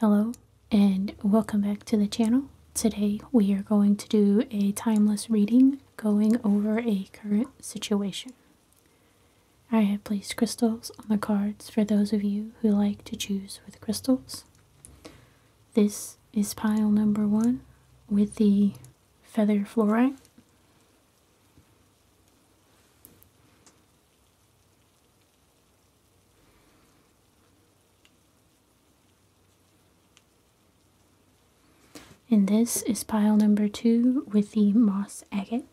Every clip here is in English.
Hello and welcome back to the channel. Today we are going to do a timeless reading going over a current situation. I have placed crystals on the cards for those of you who like to choose with crystals. This is pile number one with the feather fluorite. And this is pile number two with the moss agate.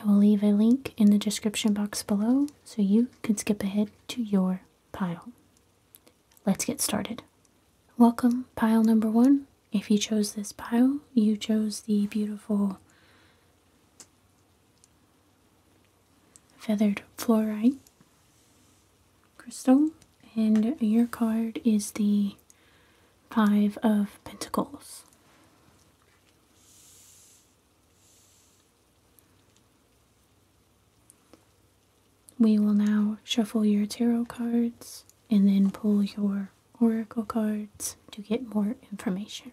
I will leave a link in the description box below so you can skip ahead to your pile. Let's get started. Welcome, pile number one. If you chose this pile, you chose the beautiful feathered fluorite crystal, and your card is the Five of Pentacles. We will now shuffle your tarot cards and then pull your oracle cards to get more information.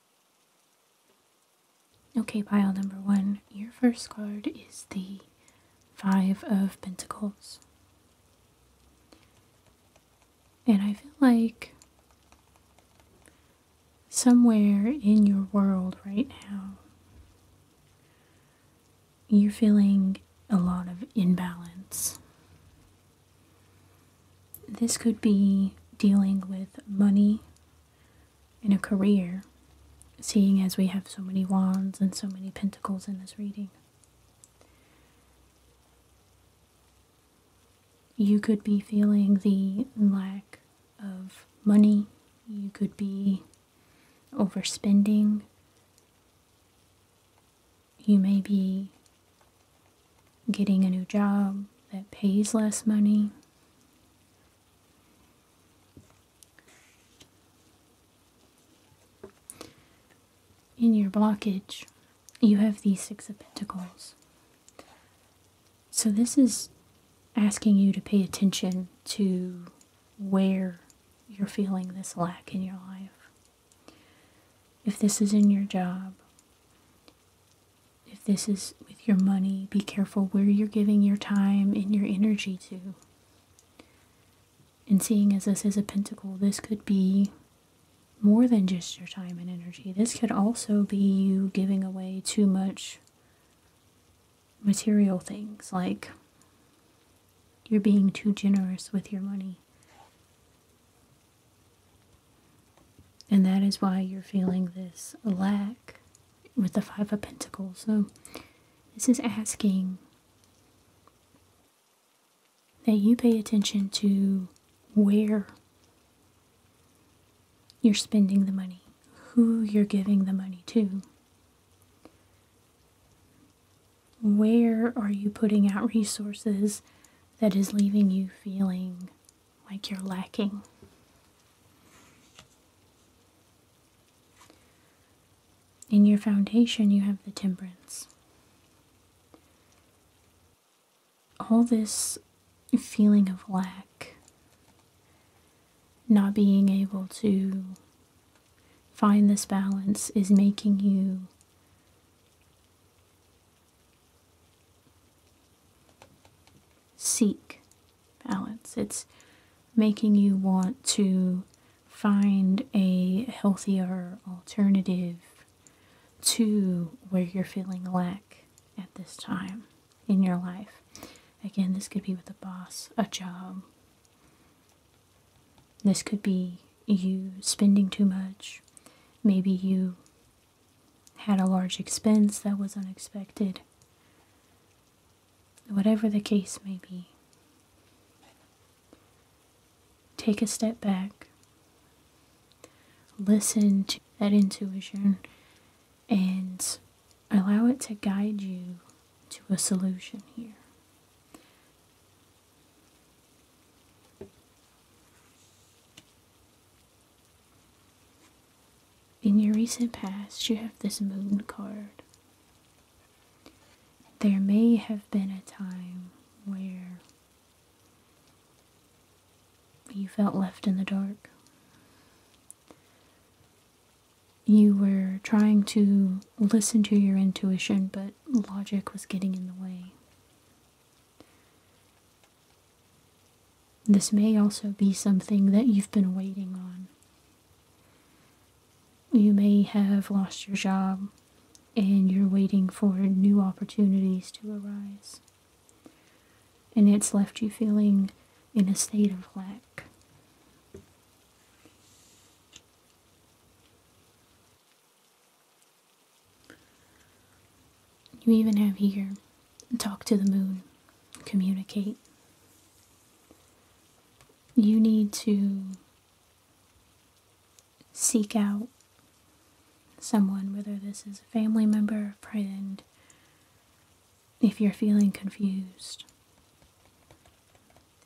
Okay, pile number one, your first card is the Five of Pentacles. And I feel like somewhere in your world right now, you're feeling a lot of imbalance. This could be dealing with money in a career, seeing as we have so many wands and so many pentacles in this reading. You could be feeling the lack of money, you could be overspending, you may be getting a new job that pays less money. In your blockage, you have the Six of Pentacles. So, this is asking you to pay attention to where you're feeling this lack in your life. If this is in your job, if this is with your money, be careful where you're giving your time and your energy to. And seeing as this is a pentacle, this could be more than just your time and energy. This could also be you giving away too much material things, like you're being too generous with your money. And that is why you're feeling this lack with the Five of Pentacles. So this is asking that you pay attention to where you're spending the money, who you're giving the money to. Where are you putting out resources that is leaving you feeling like you're lacking. In your foundation, you have the temperance. All this feeling of lack, not being able to find this balance, is making you seek balance. It's making you want to find a healthier alternative to where you're feeling lack at this time in your life. Again, this could be with a boss, a job. This could be you spending too much. Maybe you had a large expense that was unexpected, whatever the case may be. Take a step back, listen to that intuition, and allow it to guide you to a solution here. In your recent past, you have this moon card. There may have been a time where you felt left in the dark. You were trying to listen to your intuition, but logic was getting in the way. This may also be something that you've been waiting on. You may have lost your job and you're waiting for new opportunities to arise. And it's left you feeling in a state of lack. You even have here talk to the moon, communicate. You need to seek out someone, whether this is a family member, a friend, if you're feeling confused,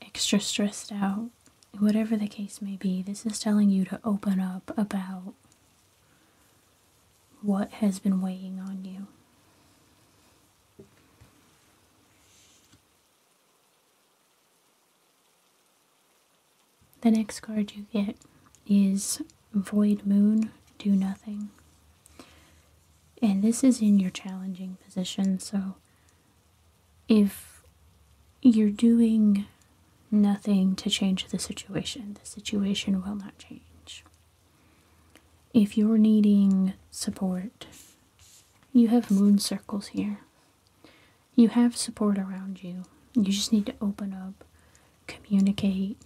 extra stressed out, whatever the case may be, this is telling you to open up about what has been weighing on you. The next card you get is Void Moon, Do Nothing. And this is in your challenging position, so if you're doing nothing to change the situation, the situation will not change. If you're needing support, you have moon circles here. You have support around you. You just need to open up, communicate,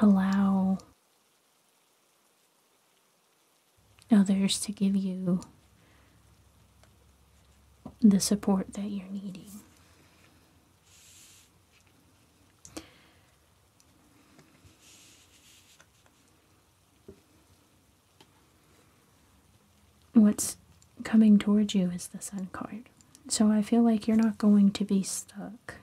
allow others to give you the support that you're needing. What's coming towards you is the Sun card. So I feel like you're not going to be stuck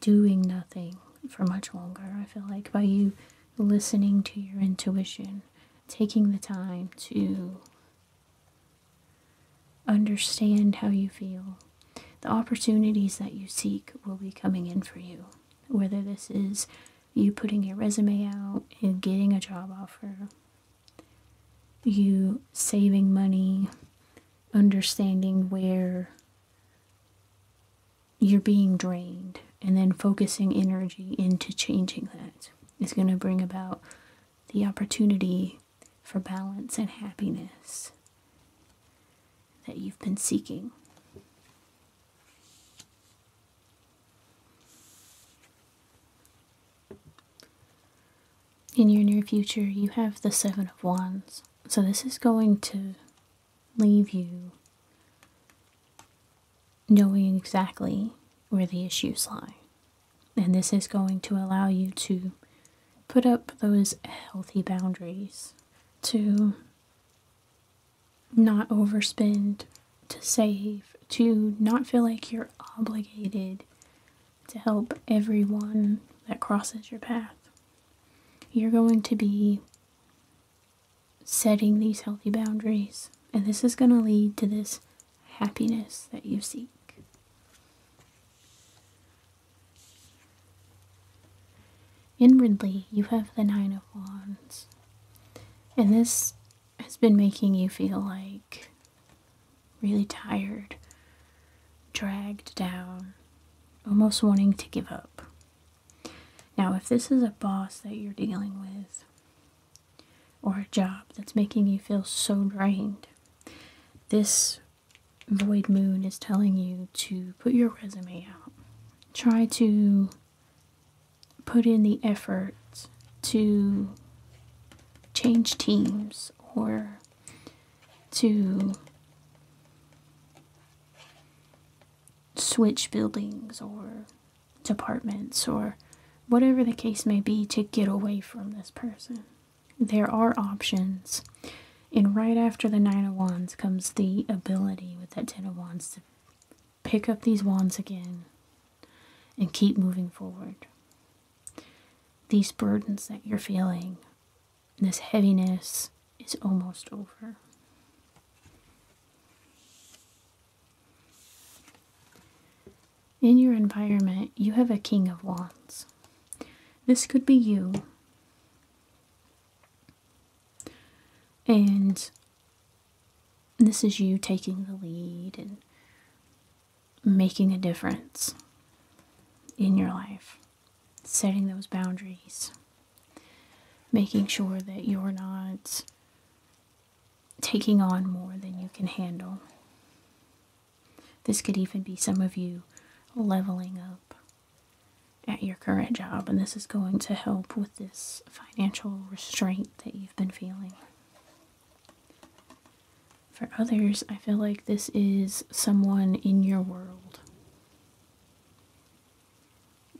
doing nothing for much longer. I feel like by you listening to your intuition, taking the time to Understand how you feel. The opportunities that you seek will be coming in for you. Whether this is you putting your resume out and getting a job offer, you saving money, understanding where you're being drained, and then focusing energy into changing that is going to bring about the opportunity for balance and happiness that you've been seeking. In your near future, you have the Seven of Wands. So, this is going to leave you knowing exactly where the issues lie. And this is going to allow you to put up those healthy boundaries to not overspend, to save, to not feel like you're obligated to help everyone that crosses your path. You're going to be setting these healthy boundaries, and this is going to lead to this happiness that you seek. Inwardly, you have the Nine of Wands, and this has been making you feel like really tired, dragged down, almost wanting to give up. Now, if this is a boss that you're dealing with, or a job that's making you feel so drained, this void moon is telling you to put your resume out. Try to put in the effort to change teams or to switch buildings or departments or whatever the case may be to get away from this person there are options. And right after the Nine of Wands comes the ability with that Ten of Wands to pick up these wands again and keep moving forward. These burdens that you're feeling, this heaviness, is almost over. In your environment, you have a King of Wands. This could be you. And this is you taking the lead and making a difference in your life, setting those boundaries, making sure that you're not taking on more than you can handle. This could even be some of you leveling up at your current job, and this is going to help with this financial restraint that you've been feeling. For others, I feel like this is someone in your world.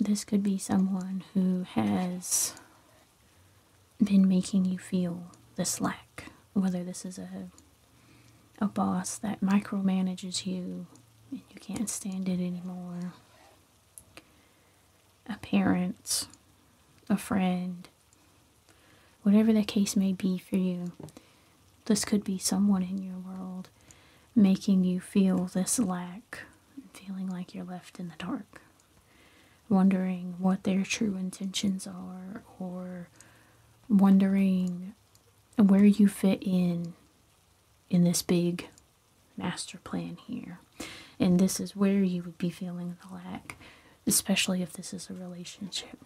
This could be someone who has been making you feel this lack, whether this is a a boss that micromanages you and you can't stand it anymore, a parent, a friend, whatever the case may be for you, this could be someone in your world making you feel this lack, feeling like you're left in the dark wondering what their true intentions are or wondering where you fit in in this big master plan here. And this is where you would be feeling the lack, especially if this is a relationship.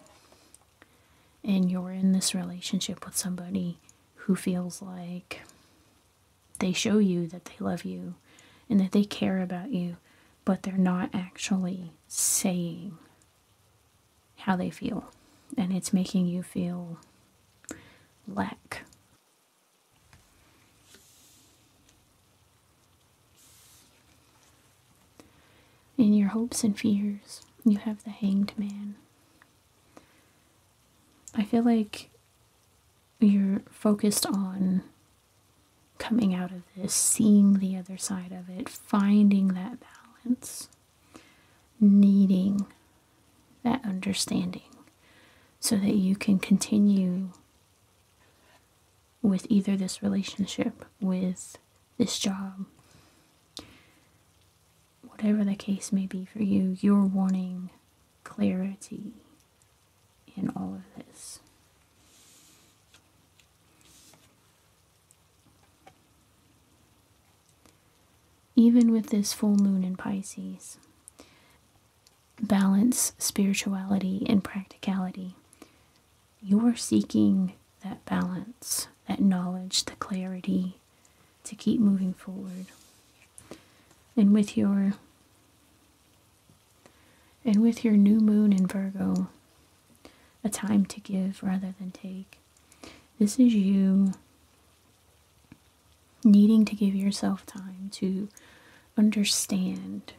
And you're in this relationship with somebody who feels like they show you that they love you and that they care about you, but they're not actually saying how they feel. And it's making you feel lack. In your hopes and fears, you have the hanged man. I feel like you're focused on coming out of this, seeing the other side of it, finding that balance, needing that understanding so that you can continue with either this relationship, with this job, whatever the case may be for you, you're wanting clarity in all of this. Even with this full moon in Pisces, balance spirituality and practicality. You are seeking that balance, that knowledge, the clarity to keep moving forward. And with your and with your new moon in Virgo, a time to give rather than take. This is you needing to give yourself time to understand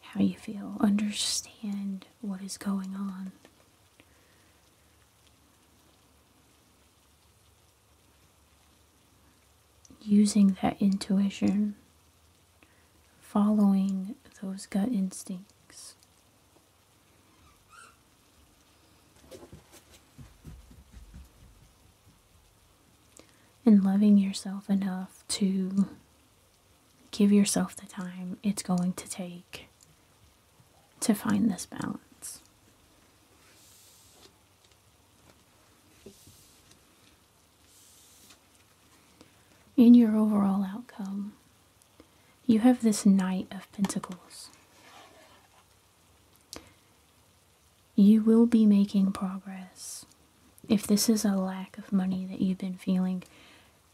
how you feel, understand what is going on. Using that intuition following those gut instincts. And loving yourself enough to give yourself the time it's going to take to find this balance. In your overall outcome, you have this Knight of Pentacles. You will be making progress. If this is a lack of money that you've been feeling,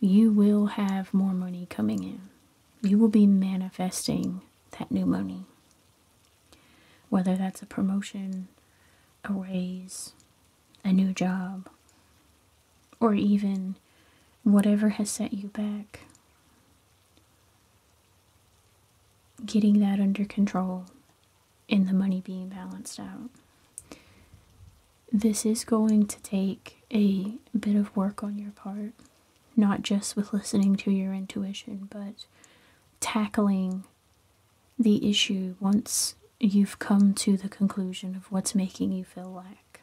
you will have more money coming in. You will be manifesting that new money. Whether that's a promotion, a raise, a new job, or even whatever has set you back. Getting that under control and the money being balanced out. This is going to take a bit of work on your part, not just with listening to your intuition, but tackling the issue once you've come to the conclusion of what's making you feel lack.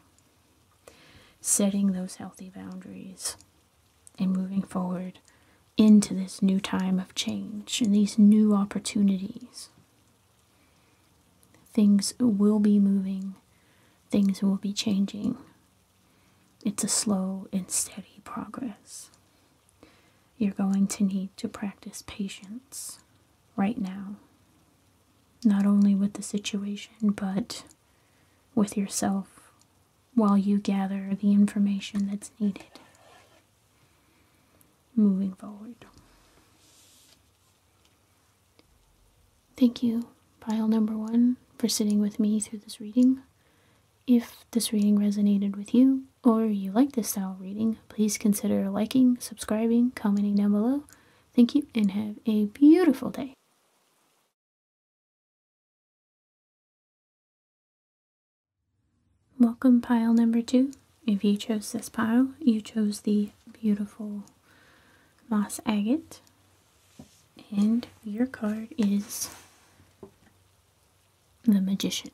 Setting those healthy boundaries and moving forward into this new time of change and these new opportunities. Things will be moving, things will be changing. It's a slow and steady progress. You're going to need to practice patience right now. Not only with the situation, but with yourself while you gather the information that's needed moving forward. Thank you, pile number one, for sitting with me through this reading. If this reading resonated with you, or you like this style reading, Please consider liking, subscribing, commenting down below. Thank you and have a beautiful day. Welcome pile number two. If you chose this pile, you chose the beautiful moss agate. And your card is the magician.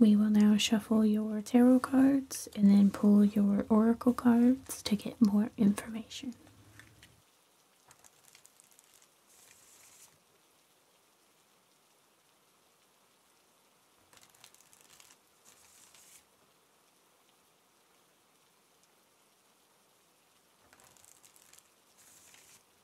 We will now shuffle your tarot cards and then pull your oracle cards to get more information.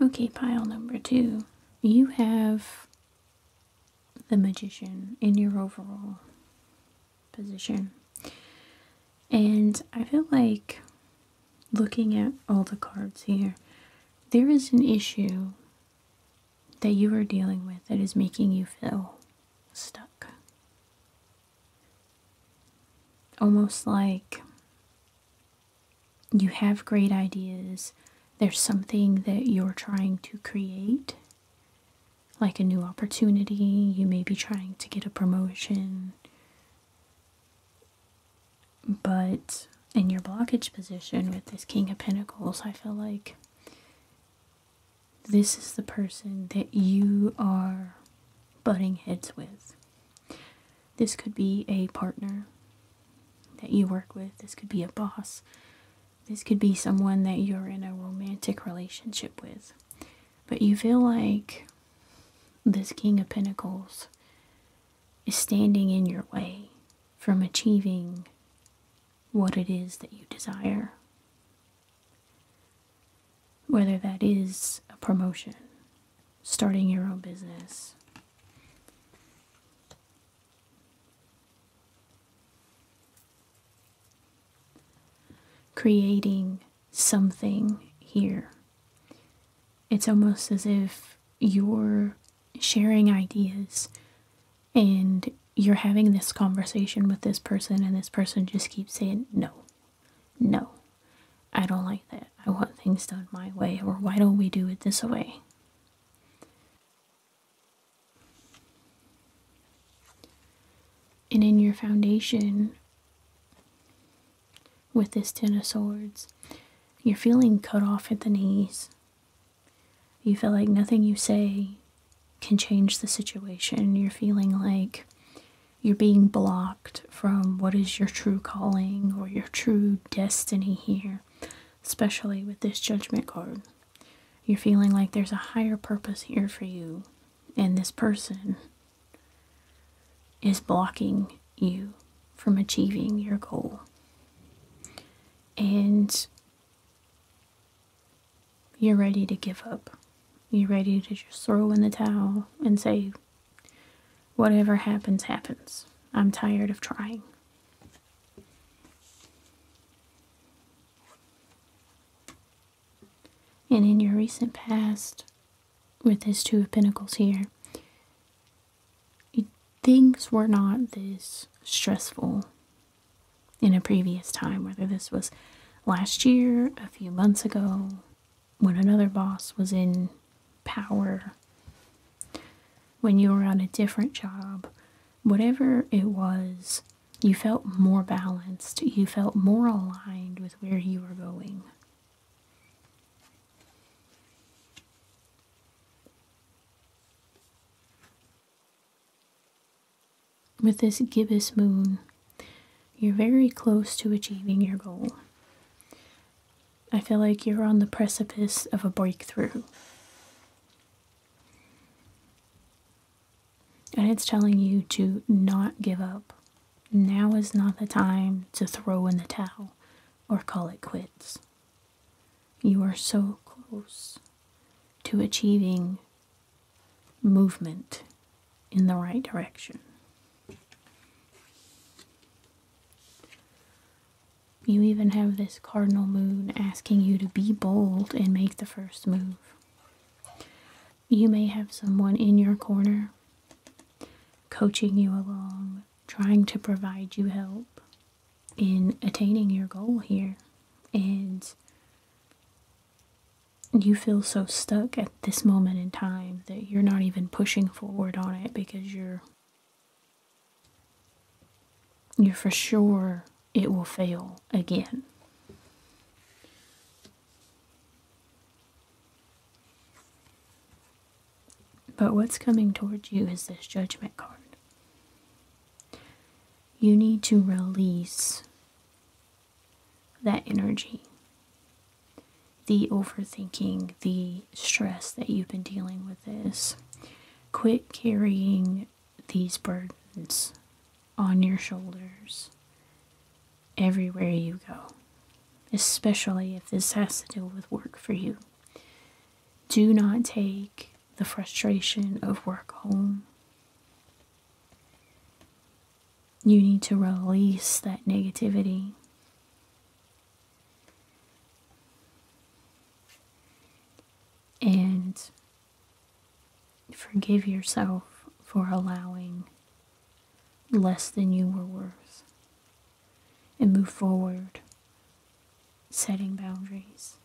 Okay, pile number two. You have the magician in your overall position. And I feel like looking at all the cards here, there is an issue that you are dealing with that is making you feel stuck. Almost like you have great ideas, there's something that you're trying to create, like a new opportunity, you may be trying to get a promotion, but in your blockage position with this King of Pentacles, I feel like this is the person that you are butting heads with. This could be a partner, that you work with. This could be a boss. This could be someone that you're in a romantic relationship with. But you feel like this King of Pentacles is standing in your way from achieving what it is that you desire. Whether that is a promotion, starting your own business, creating something here. It's almost as if you're sharing ideas and you're having this conversation with this person, and this person just keeps saying, No, no, I don't like that. I want things done my way, or why don't we do it this way? And in your foundation with this Ten of Swords, you're feeling cut off at the knees. You feel like nothing you say can change the situation. You're feeling like you're being blocked from what is your true calling or your true destiny here especially with this judgment card. You're feeling like there's a higher purpose here for you, and this person is blocking you from achieving your goal. And you're ready to give up. You're ready to just throw in the towel and say, whatever happens, happens. I'm tired of trying. And in your recent past, with this Two of Pentacles here, things were not this stressful in a previous time, whether this was last year, a few months ago, when another boss was in power when you were on a different job, whatever it was, you felt more balanced, you felt more aligned with where you were going. With this gibbous moon, you're very close to achieving your goal. I feel like you're on the precipice of a breakthrough. And it's telling you to not give up. Now is not the time to throw in the towel or call it quits. You are so close to achieving movement in the right direction. You even have this cardinal moon asking you to be bold and make the first move. You may have someone in your corner coaching you along, trying to provide you help in attaining your goal here. And you feel so stuck at this moment in time that you're not even pushing forward on it because you're you're for sure it will fail again. But what's coming towards you is this judgment card. You need to release that energy, the overthinking, the stress that you've been dealing with this. Quit carrying these burdens on your shoulders everywhere you go, especially if this has to do with work for you. Do not take the frustration of work home. You need to release that negativity and forgive yourself for allowing less than you were worth. And move forward, setting boundaries,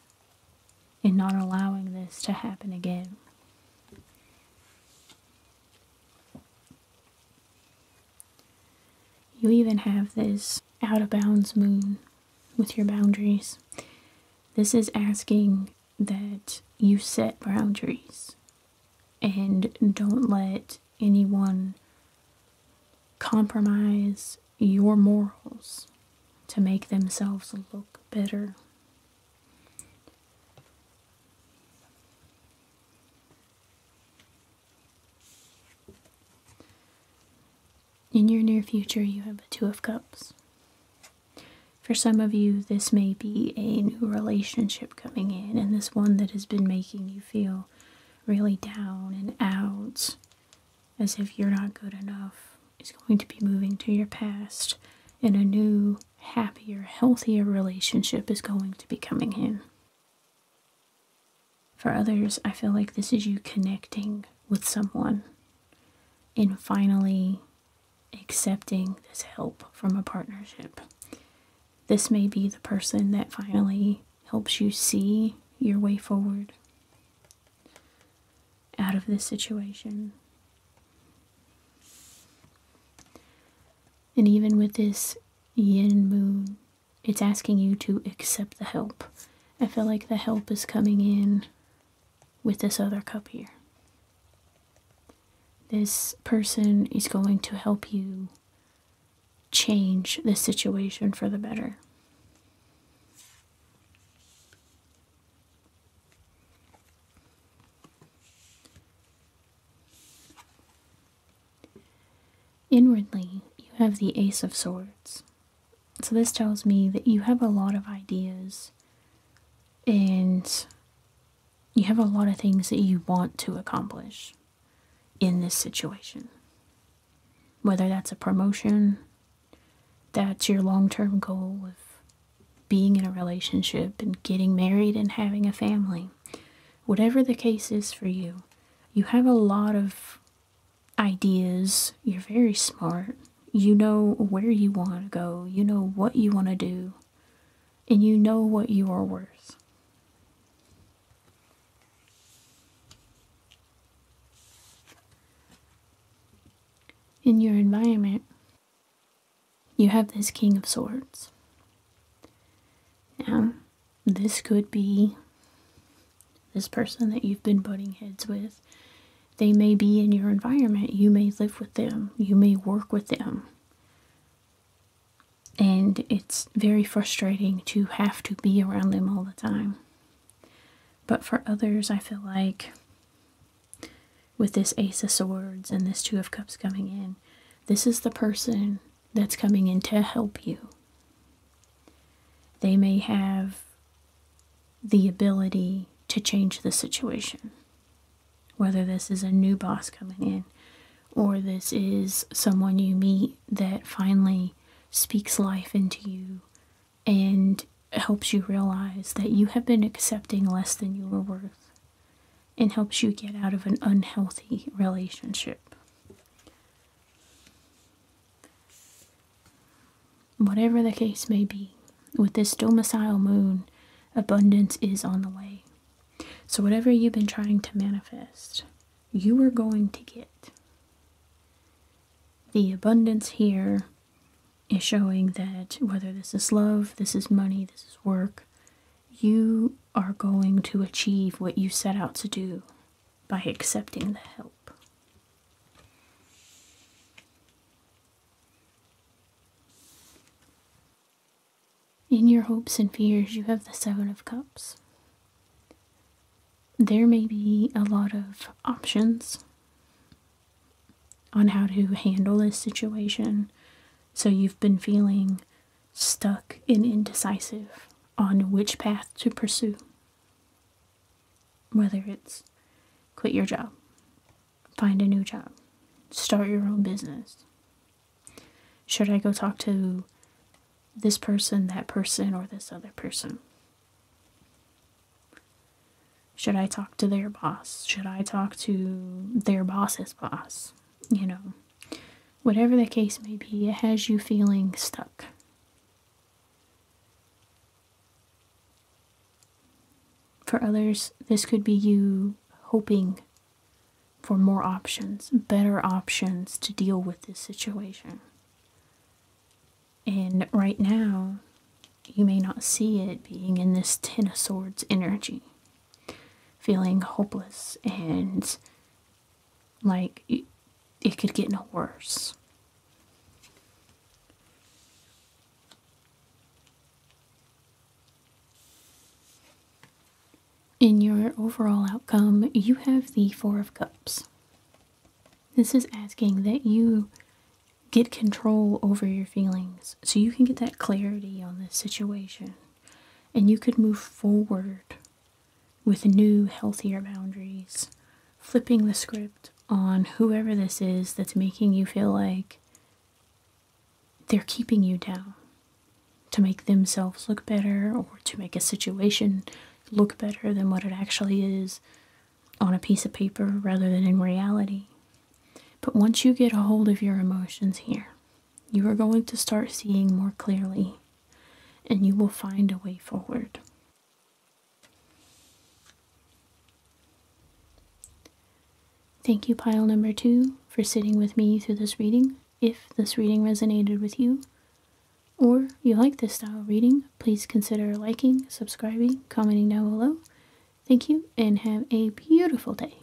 and not allowing this to happen again. You even have this out of bounds moon with your boundaries. This is asking that you set boundaries and don't let anyone compromise your morals to make themselves look better. In your near future, you have the Two of Cups. For some of you, this may be a new relationship coming in, and this one that has been making you feel really down and out, as if you're not good enough, is going to be moving to your past, and a new, happier, healthier relationship is going to be coming in. For others, I feel like this is you connecting with someone and finally accepting this help from a partnership. This may be the person that finally helps you see your way forward out of this situation. And even with this yin moon it's asking you to accept the help. I feel like the help is coming in with this other cup here. This person is going to help you change the situation for the better. Inwardly, you have the Ace of Swords. So this tells me that you have a lot of ideas and you have a lot of things that you want to accomplish in this situation. Whether that's a promotion, that's your long term goal of being in a relationship and getting married and having a family. Whatever the case is for you, you have a lot of ideas. You're very smart. You know where you want to go. You know what you want to do. And you know what you are worth. In your environment, you have this King of Swords. Now, this could be this person that you've been butting heads with. They may be in your environment. You may live with them. You may work with them. And it's very frustrating to have to be around them all the time. But for others, I feel like with this Ace of Swords and this Two of Cups coming in, this is the person that's coming in to help you. They may have the ability to change the situation. Whether this is a new boss coming in or this is someone you meet that finally speaks life into you and helps you realize that you have been accepting less than you are worth and helps you get out of an unhealthy relationship. Whatever the case may be, with this domicile moon, abundance is on the way. So, whatever you've been trying to manifest, you are going to get. The abundance here is showing that whether this is love, this is money, this is work, you are going to achieve what you set out to do by accepting the help. In your hopes and fears, you have the Seven of Cups. There may be a lot of options on how to handle this situation. So you've been feeling stuck and indecisive on which path to pursue. Whether it's quit your job, find a new job, start your own business. Should I go talk to this person, that person, or this other person? Should I talk to their boss? Should I talk to their boss's boss? You know, whatever the case may be, it has you feeling stuck. For others, this could be you hoping for more options, better options to deal with this situation. And right now, you may not see it being in this Ten of Swords energy, feeling hopeless and like, it, could get no worse. In your overall outcome, you have the Four of Cups. This is asking that you get control over your feelings so you can get that clarity on this situation and you could move forward with new, healthier boundaries, flipping the script on whoever this is that's making you feel like they're keeping you down to make themselves look better or to make a situation look better than what it actually is on a piece of paper rather than in reality. But once you get a hold of your emotions here, you are going to start seeing more clearly and you will find a way forward. Thank you, pile number two, for sitting with me through this reading. If this reading resonated with you, or you like this style reading, please consider liking, subscribing, commenting down below. Thank you, and have a beautiful day.